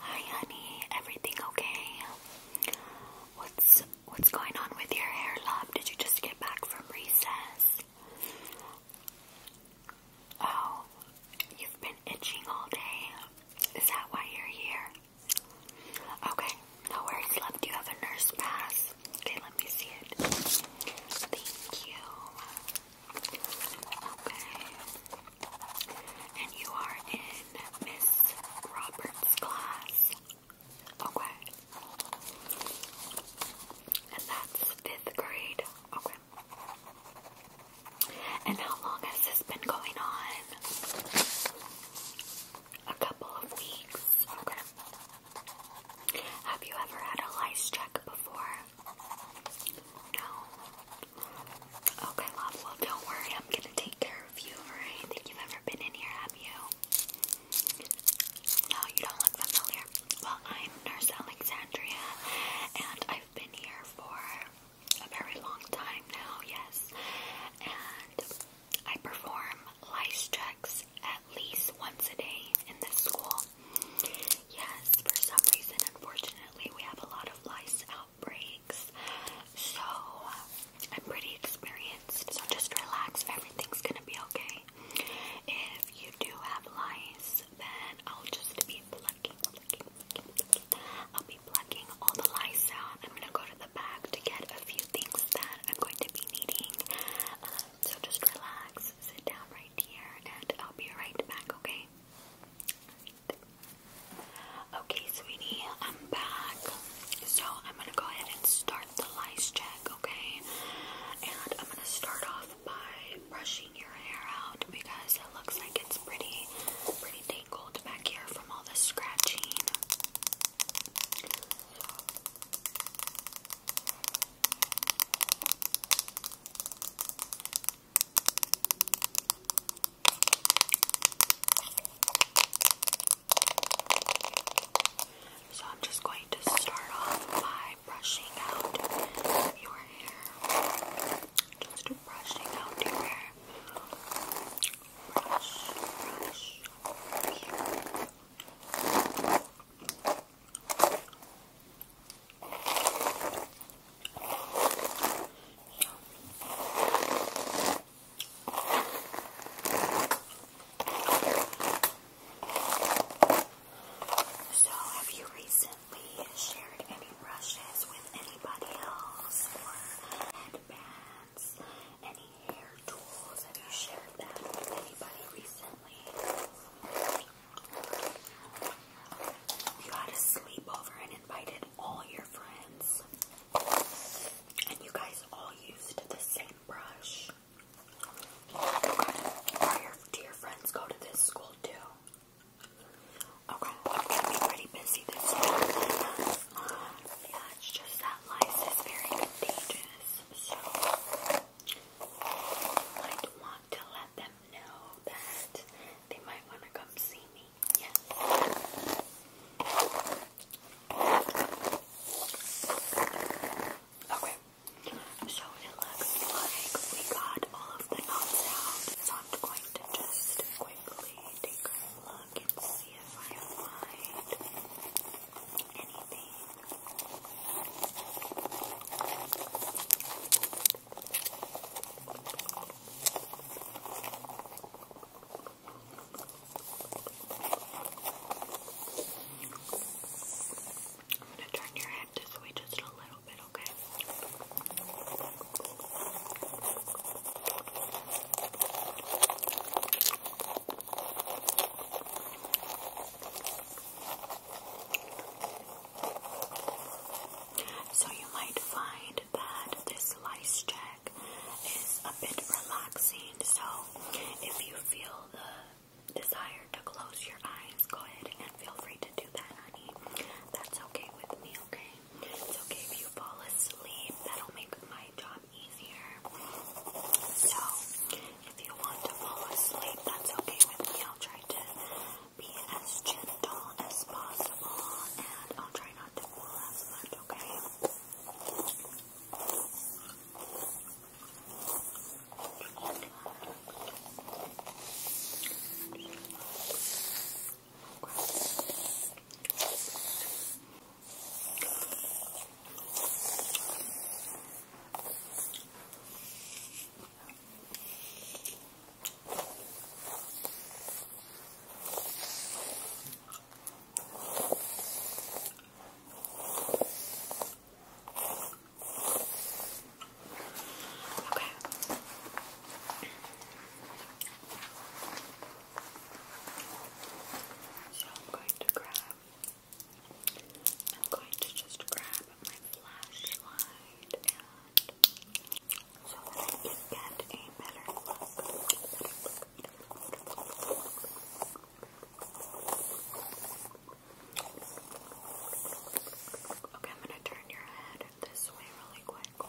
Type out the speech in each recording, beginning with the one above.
Hi honey, everything okay? What's what's going on with your hair, love? Did you just get back from recess? Oh, you've been itching all day. Is that why you're here? Okay, no worries, love. you have a nurse pass? Okay, let me see it. Thank you. Okay. And you are in Miss Roberts' class. Okay. And that's fifth grade. Okay. And how long has this been going on? A couple of weeks. Okay. Have you ever had a lice check before? No. Okay, love. Well, don't worry. I'm gonna take care of you. Alright. I think you've ever been in here, have you? No, you don't look familiar. Well, I'm Nurse Alexandria, and I've been here for a very long time now. Yes, and I perform lice checks at least once a day in this school. Yes, for some reason, unfortunately, we have a lot of lice outbreaks. So, uh, I'm pretty experienced. So, just relax. Everything's gonna be okay. If you do have lice, then I'll just be plucking, plucking, plucking, plucking. I'll be plucking all the lice out. I'm gonna go to the back to get a few things that I'm going to be needing. Uh, so, just relax. Sit down right here, and I'll be right back, okay? Okay, sweetie, I'm back. So, I'm gonna go ahead and start the lice check, okay? And I'm gonna start off by brushing your hair out because it looks like it's pretty, pretty tangled back here from all the scratching. So I'm just going to start off by brushing out your hair. Just brushing out your hair. So, have you recently shared any brushes with anybody else or headbands? Any hair tools? Have you shared that with anybody recently? You had a sleepover and invited all your friends. And you guys all used the same brush. do your friends go to this school too? Okay, I'm pretty busy this year. Yeah, just that lice is very contagious, so I might want to let them know that they might want to come see me. Yeah. Okay. So it looks like we got all of the knots out. So I'm going to just quickly take a look and see if I find anything I'm going to turn your head this way just a little bit, okay? Okay. So you might find that this lice check is a bit relaxing. So if you feel the desire to close your eyes, go ahead and feel free to do that, honey. That's okay with me, okay? It's okay if you fall asleep. That'll make my job easier. So if you want to fall asleep, that's okay with me. I'll try to be as gentle as possible and I'll try not to fall as much, Okay. Okay. So I'm going to grab I'm going to just grab my flashlight and so that I can get a better Okay, I'm gonna turn your head this way really quick.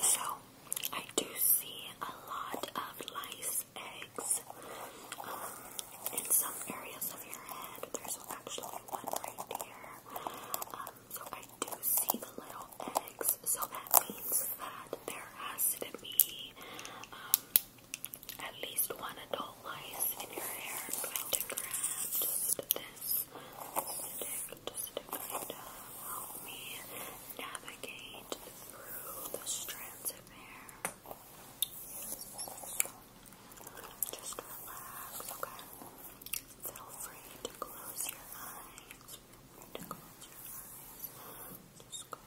So, I do see a lot of lice eggs um, in some areas of your head. There's actually one right here. Um, so I do see the little eggs, so that means that there has to be um, at least one adult lice in your hair. to grab this to help me navigate through the strands of hair. Just relax, okay? Feel free to close your eyes. To close your eyes. Just go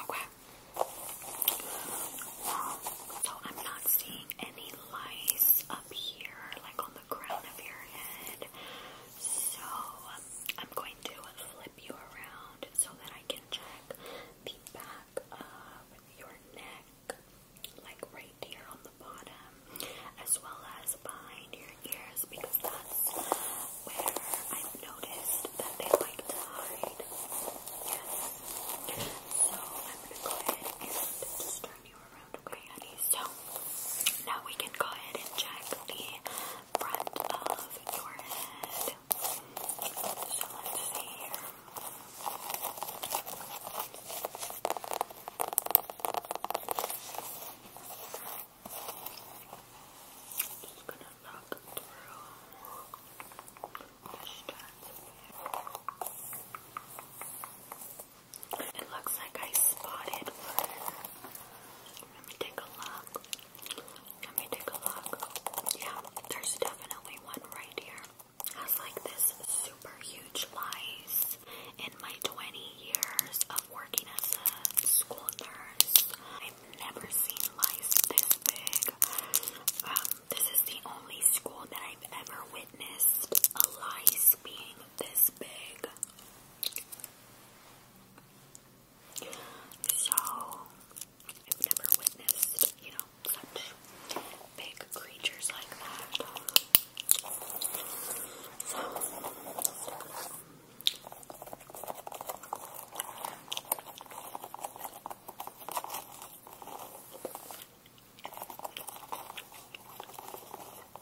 Okay. So I'm not seeing any lice up here, like on the crown of your head. So um, I'm going to flip you around so that I can check the back of your neck, like right here on the bottom, as well as behind your ears, because that's where I've noticed that they like to hide. Yes. So I'm gonna go ahead and turn you around, okay, honey? So now we can go ahead and check the front of your head. So let's see here. Just gonna look through the strands of hair. It looks like I spotted Let me take a look. Let me take a look. Yeah, there's definitely one right here. Has like this super huge lice. In my 20 years of working as a school nurse, I've never seen lice this big. Um, this is the only school that I've ever witnessed a lice being this big. So, I've never witnessed, you know, such big creatures like that. So, Okay,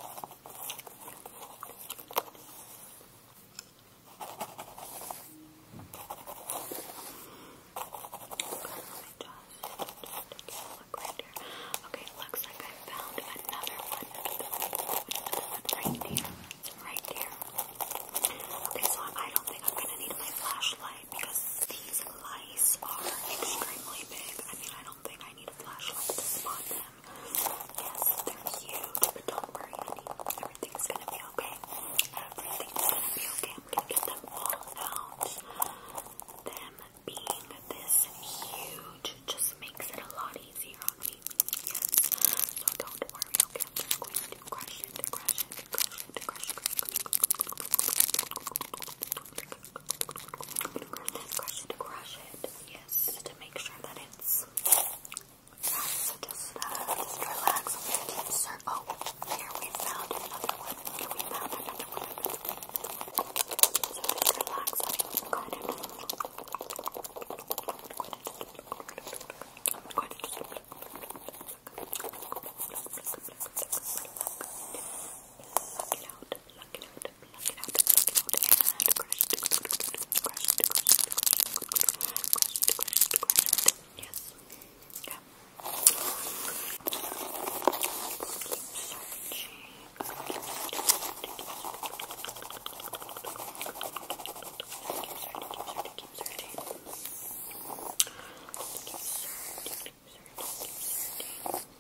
looks like I found another one. Another one right here. Right here. Okay, so I don't think I'm gonna need my flashlight because these lice are extremely big. I mean, I don't think I need a flashlight to spot them. Yes, they're huge, but don't worry, honey. Everything's gonna be okay. Everything's gonna be okay. I'm gonna get out. Them being this huge just makes it a lot easier on me. Yes. So don't worry, okay? I'm just going to crush it, crush it, crush it, crush it, crush it. Crush it. Crush it, crush it. Yes, to make sure that it's. Yeah, so just, uh, just relax. I'm going to insert. Oh, here we found another one. Here we found another one. So just relax. I'm going to. I'm going to just. Pluck it out, pluck it out, pluck it out, pluck it out, and crush it, crush it, crush it, crush it, crush it, crush it, crush it, crush it. Yes. Yeah. Keep searching. Keep searching, keep searching, keep searching, keep searching. Keep searching, keep searching, keep searching. Keep searching, keep searching.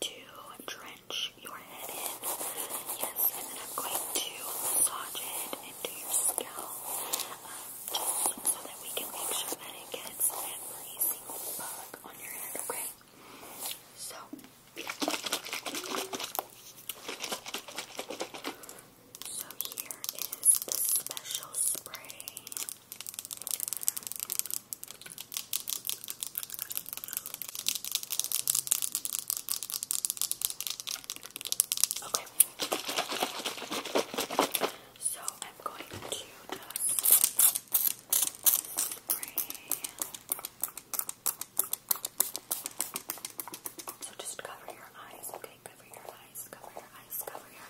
to drench your head in. Yes, and then I'm going to massage it into your scalp um, so that we can make sure that it gets every single bug on your head, okay? So, so here is the special spray. Okay. So I'm going to just spray. So just cover your eyes, okay? Cover your eyes, cover your eyes, cover your eyes.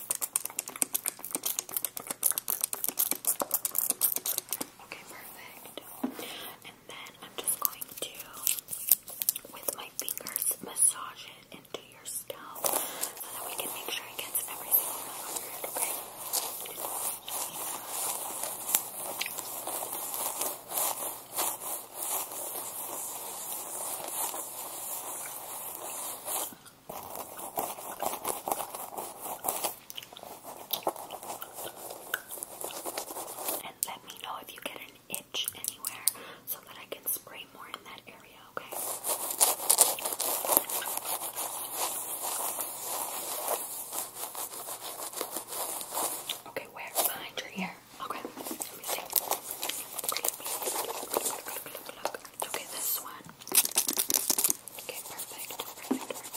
Okay, perfect. And then I'm just going to, with my fingers, massage it into your scalp so that we can make sure it gets everything covered, okay? And let me know if you get an itch anywhere so that I can spray more in that area, okay? Okay, where? Behind your ear there. Okay, let me see. Look, look, look. Okay, this one. Okay, perfect, perfect, perfect. Yes.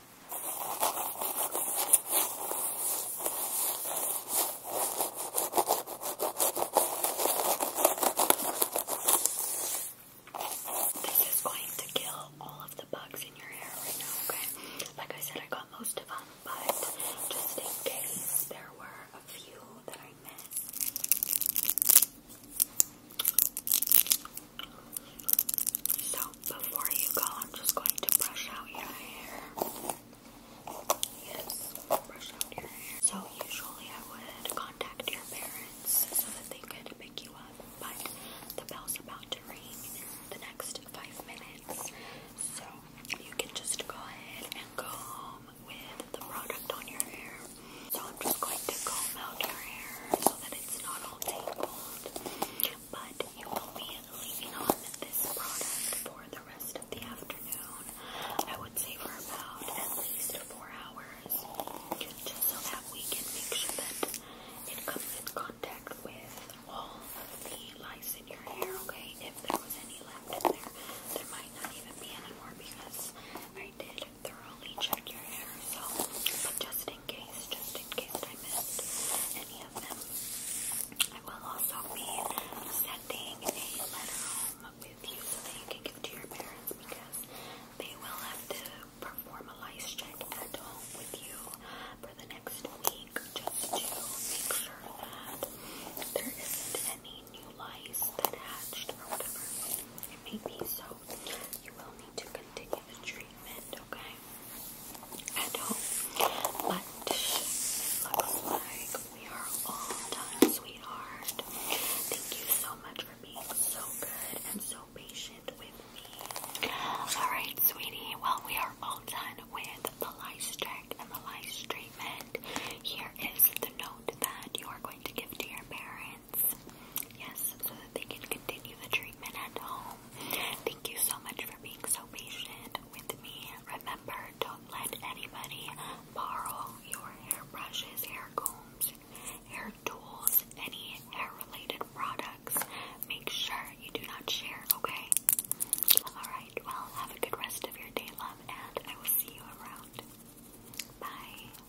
This is going to kill all of the bugs in your hair right now, okay? Like I said, I got most of them, but just in case there were a few that I missed. So, before you go, I'm just going to brush out your hair. Yes, brush out your hair. So usually I would contact your parents so that they could pick you up, but the bell's about to ring in the next five minutes. So you can just go ahead and go home with the product on your hair. So I'm just going to comb out your hair so that it's not all tangled but you will be leaving on this product for the rest of the afternoon. I would say for about at least four hours, just so that we can make sure that it comes in contact with all of the lice in your hair, okay? If there was any left in there, there might not even be any more because I did thoroughly check your hair, so, just in case, just in case I any of them. I will also be sending a letter home with you so that you can give to your parents because they will have to perform a lice check at home with you for the next week just to make sure that there isn't any new lice that hatched or whatever it may be. So you will need to continue the treatment, okay? At home. But looks like we are all done, sweetheart. Thank you so much for being so good and so patient with me. Alright, sweetie. Well, we are all done with the lice check and the lice treatment. Here is the note that you are going to give to your parents. Yes, so that they can continue the treatment. Thank you so much for being so patient with me. Remember, don't let anybody borrow your hair brushes, hair combs, hair tools, any hair related products. Make sure you do not share, okay? Alright, well, have a good rest of your day, love, and I will see you around. Bye.